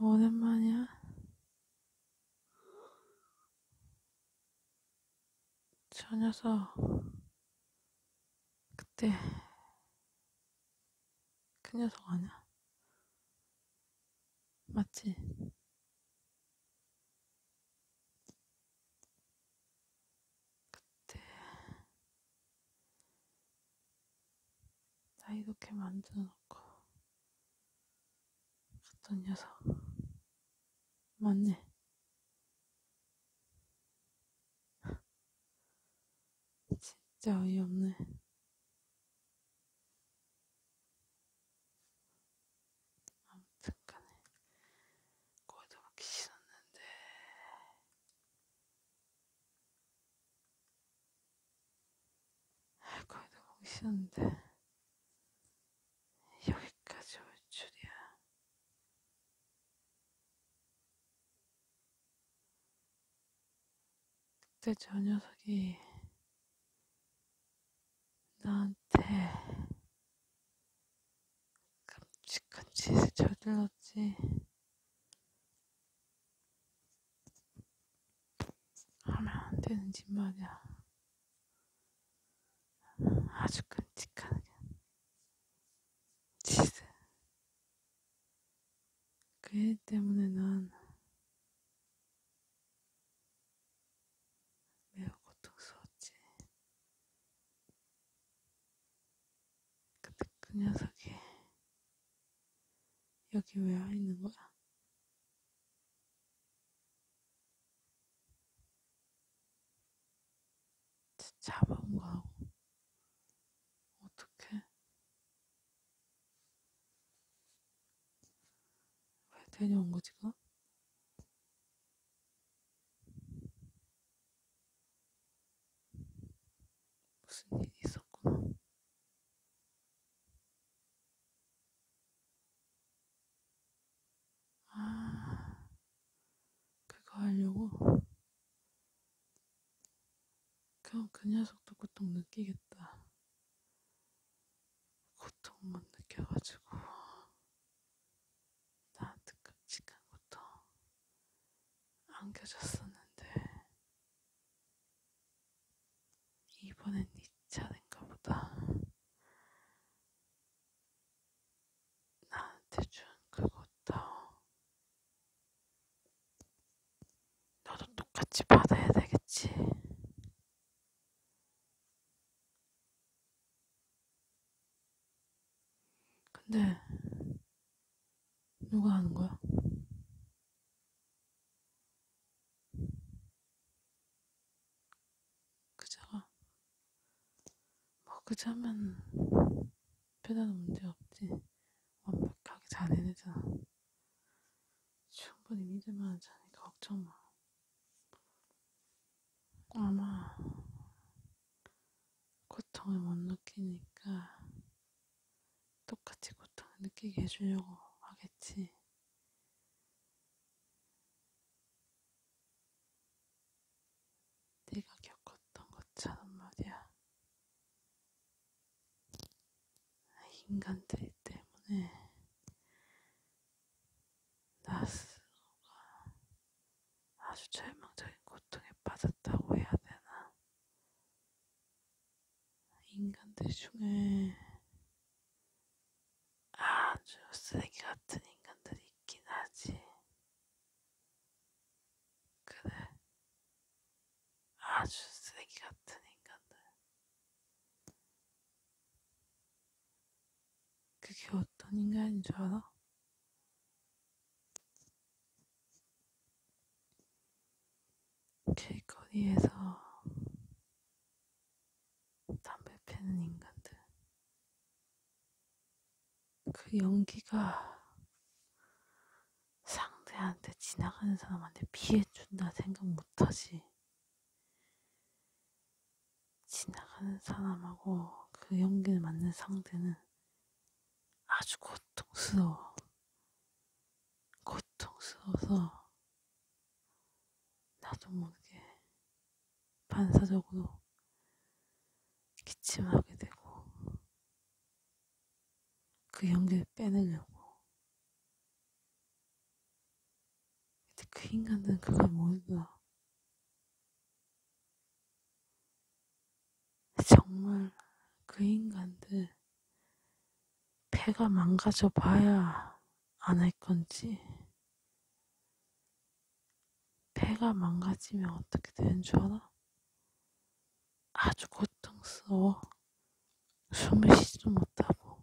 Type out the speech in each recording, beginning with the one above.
오랜만이야. 저 녀석, 그때, 그 녀석 아니야? 맞지? 그때 나 이렇게 만들어놓고 갔던 녀석 맞네. 진짜 어이없네. 잠깐에 거기다 막 신었는데 거기다 막 신었는데 여기까지 올 줄이야. 그때 저 녀석이 나한테 끔찍한 짓을 저질렀지. 하면 안 되는 짓 말이야. 아주 끔찍한 짓을. 그일 때문에 난 매우 고통스러웠지. 근데 그 녀석이 여기 왜 와 있는 거야? 잡아온 거하고 어떻게 왜 데려온 거지 그? 무슨 일이 있었구나. 아, 그거 하려고? 그럼 그 녀석도 고통 느끼겠다. 고통만 느껴가지고. 나한테 끔찍한것도 안겨줬었는데 이번엔 네 차례인가 보다. 나한테 준 그것도 너도 똑같이 받아야 되겠지. 근데 누가 하는 거야? 그자가 뭐 그자면 배달은 문제 없지 완벽하게 잘 해내잖아 충분히 믿을만한 자니까 걱정 마 아마 고통을 못 느끼니까 똑같이 고통을 느끼게 해주려고 하겠지. 네가 겪었던 것처럼 말이야. 인간들 때문에 나 스스로가 아주 절망적인 고통에 빠졌다고 해야 되나? 인간들 중에 아주 쓰레기 같은 인간들이 있긴 하지. 그래. 아주 쓰레기 같은 인간들. 그게 어떤 인간인 줄 알아? 길거리에서 담배 피는 인간들. 그 연기가 상대한테 지나가는 사람한테 피해준다 생각 못하지. 지나가는 사람하고 그 연기를 맞는 상대는 아주 고통스러워. 고통스러워서 나도 모르게 반사적으로 기침하게 되고 그 연기를 빼내려고 근데 그 인간들은 그걸 모르더라 정말 그 인간들 배가 망가져 봐야 안 할 건지 배가 망가지면 어떻게 되는 줄 알아? 아주 고통스러워 숨을 쉬지도 못하고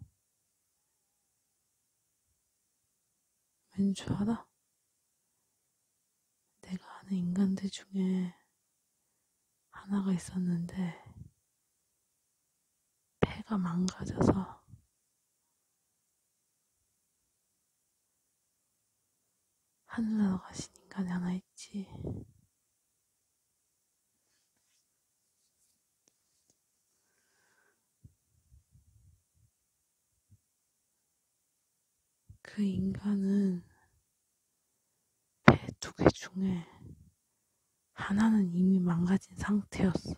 왠 줄 알아? 내가 아는 인간들 중에 하나가 있었는데, 폐가 망가져서, 하늘나라 가신 인간이 하나 있지. 그 인간은 배 두 개 중에 하나는 이미 망가진 상태였어.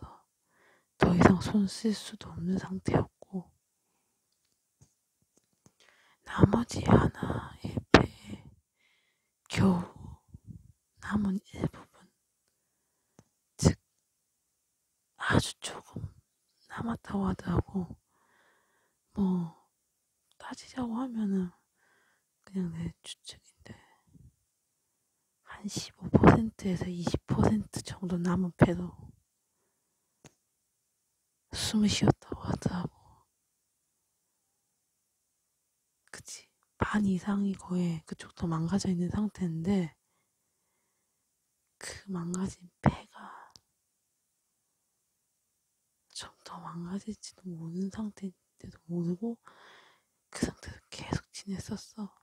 더 이상 손 쓸 수도 없는 상태였고, 나머지 하나의 배에 겨우 남은 일부분, 즉, 아주 조금 남았다고 하더라고. 뭐 따지자고 하면은 그냥 내 추측인데 한 15%에서 20% 정도 남은 패도 숨을 쉬었다고 하더라고. 그치. 반 이상이 거의 그쪽도 망가져 있는 상태인데, 그 망가진 폐가 점더 망가질지도 모르는 상태인데도 모르고 그 상태에서 계속 지냈었어.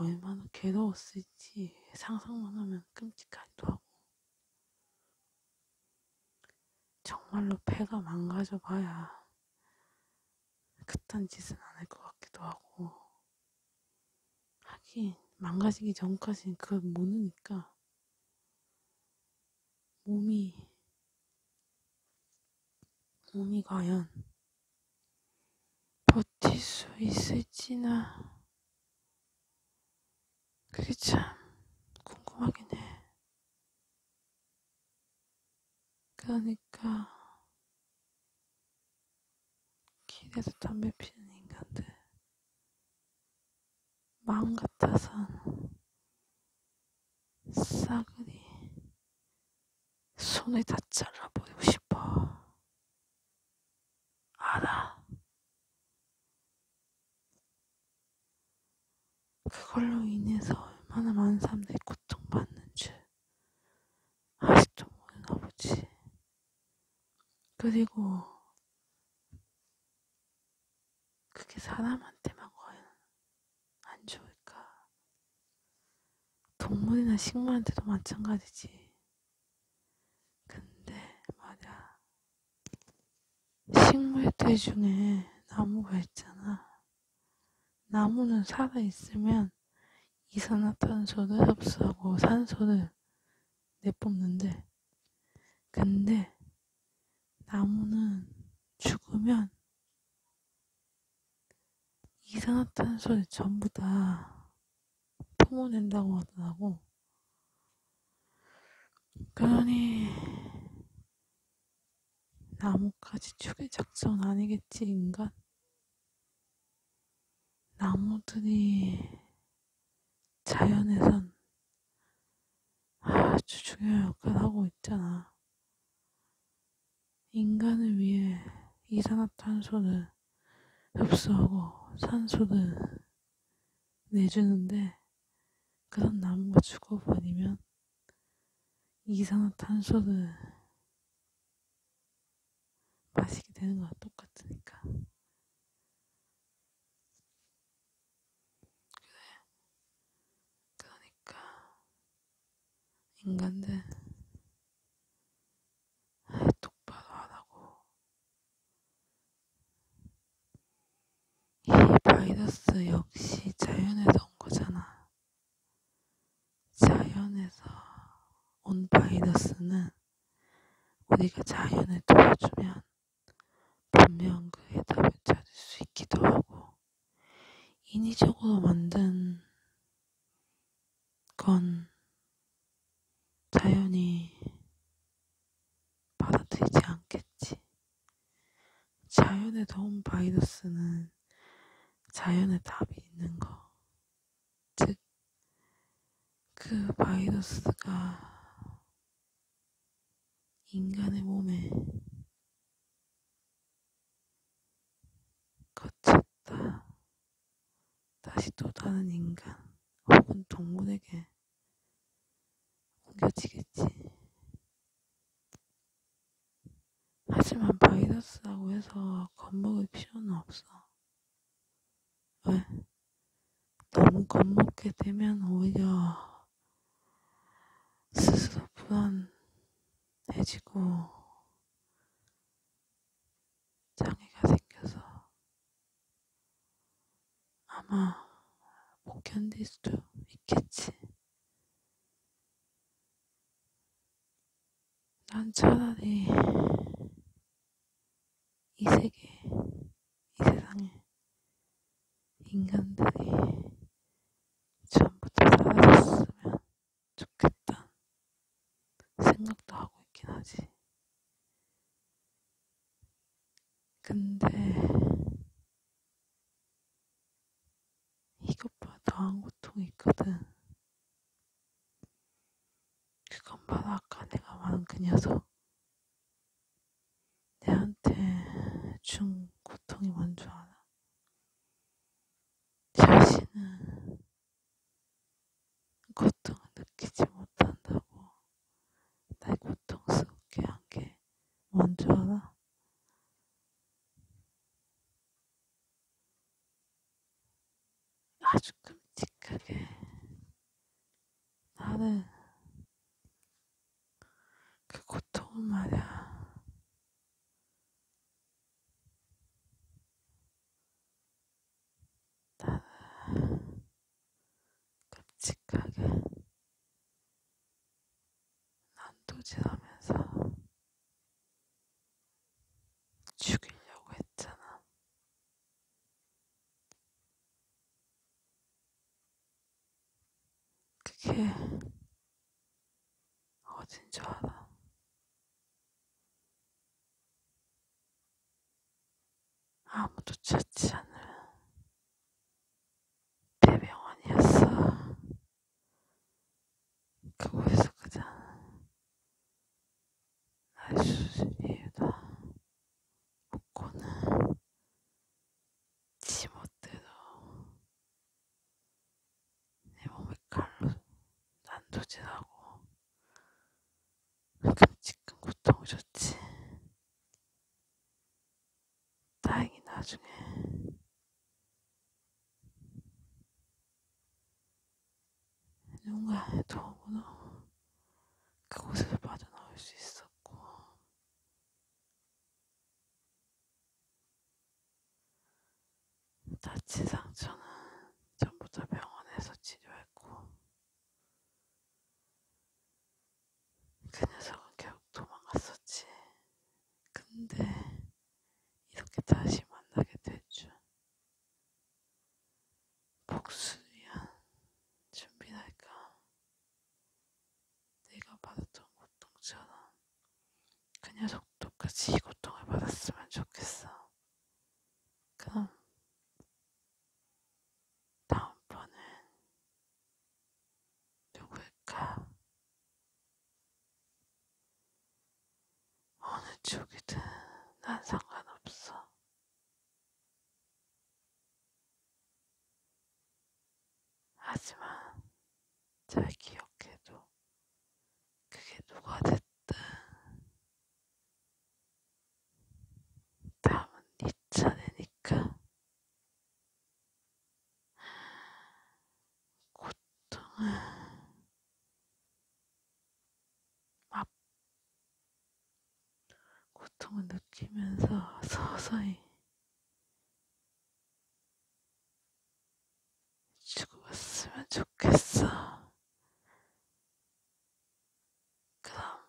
얼마나 괴로웠을지 상상만 하면 끔찍하기도 하고 정말로 배가 망가져 봐야 그딴 짓은 안 할 것 같기도 하고 하긴 망가지기 전까지는 그걸 모르니까 몸이 몸이 과연 버틸 수 있을지나 그게 참 궁금하긴 해. 그러니까 길에서 담배 피는 인간들 마음 같아선 싸그리 손을 다 잘라버리고 싶어 알아 그걸로 인해서 얼마나 많은 사람들이 고통받는 줄 아직도 모르나 보지 그리고 그게 사람한테만 과연 안 좋을까? 동물이나 식물한테도 마찬가지지. 근데 말야 식물들 중에 나무가 있잖아. 나무는 살아있으면 이산화탄소를 흡수하고 산소를 내뿜는데 근데 나무는 죽으면 이산화탄소를 전부 다 품어낸다고 하더라고. 그러니 나무까지 죽일 작전 아니겠지 인간? 나무들이 자연에선 아, 아주 중요한 역할을 하고 있잖아. 인간을 위해 이산화탄소를 흡수하고 산소를 내주는데 그런 나무가 죽어버리면 이산화탄소를 마시게 되는 거랑 똑같으니까. 그래. 그러니까, 인간들, 아이, 똑바로 하라고. 이 바이러스 역시 자연에서 온 거잖아. 자연에서 온 바이러스는 우리가 자연을 도와주면 분명 그 해답을 찾을 수 있기도 하고 인위적으로 만든 건 자연이 받아들이지 않겠지. 자연에 더운 바이러스는 자연의 답이 있는 거. 즉, 그 바이러스가 인간의 몸에 거쳤다. 다시 또 다른 인간 혹은 동물에게 옮겨지겠지. 하지만 바이러스라고 해서 겁먹을 필요는 없어. 왜? 너무 겁먹게 되면 오히려 스스로 불안해지고 장애가 생겨서 아마 못 견딜 수도 있겠지. 난 차라리 이 세계, 이 세상에 인간들이 전부 다 사라졌으면 좋겠다 생각도 하고 있긴 하지. 근데 이것보다 더한 고통이 있거든. 그건 바로 아까 내가 말한 그 녀석. 내한테 준 고통이 뭔줄 알아? 자신은 고통을 느끼지 못한다고 날 고통스럽게 한 게뭔 줄 알아? 아주 끔찍하게 나는 그 고통을 말야 나는 끔찍하게 난도질하면서 죽이려고 했잖아. 그게 어딘 줄 알아? 아무도 찾지 않는 대병원이었어. 그곳에서 그냥 날씨 위에다 묶고는 지멋대로 내 몸에 칼로 난도질하고 끔찍한 고통을 줬지. 다행히 나중에 누군가의 도움으로 그곳에서 빠져나올 수 있었고, 다치 상처는 전부 다 병원에서 치료했고, 그 녀석은 결국 도망갔었지. 근데 이렇게 다시 만나게 될줄 복수위한 준비랄까 내가 받았던 고통처럼 그 녀석도 같이 이 고통을 받았으면 좋겠어. 그럼 다음번은 누구일까? 어느 쪽이든 난 상관없어. 하지만 잘 기억해도 그게 누가 됐든 다음은 네 차례니까 고통을 고통을 느끼면서 서서히 죽었으면 좋겠어. 그럼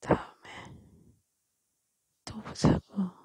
다음에 또 보자고.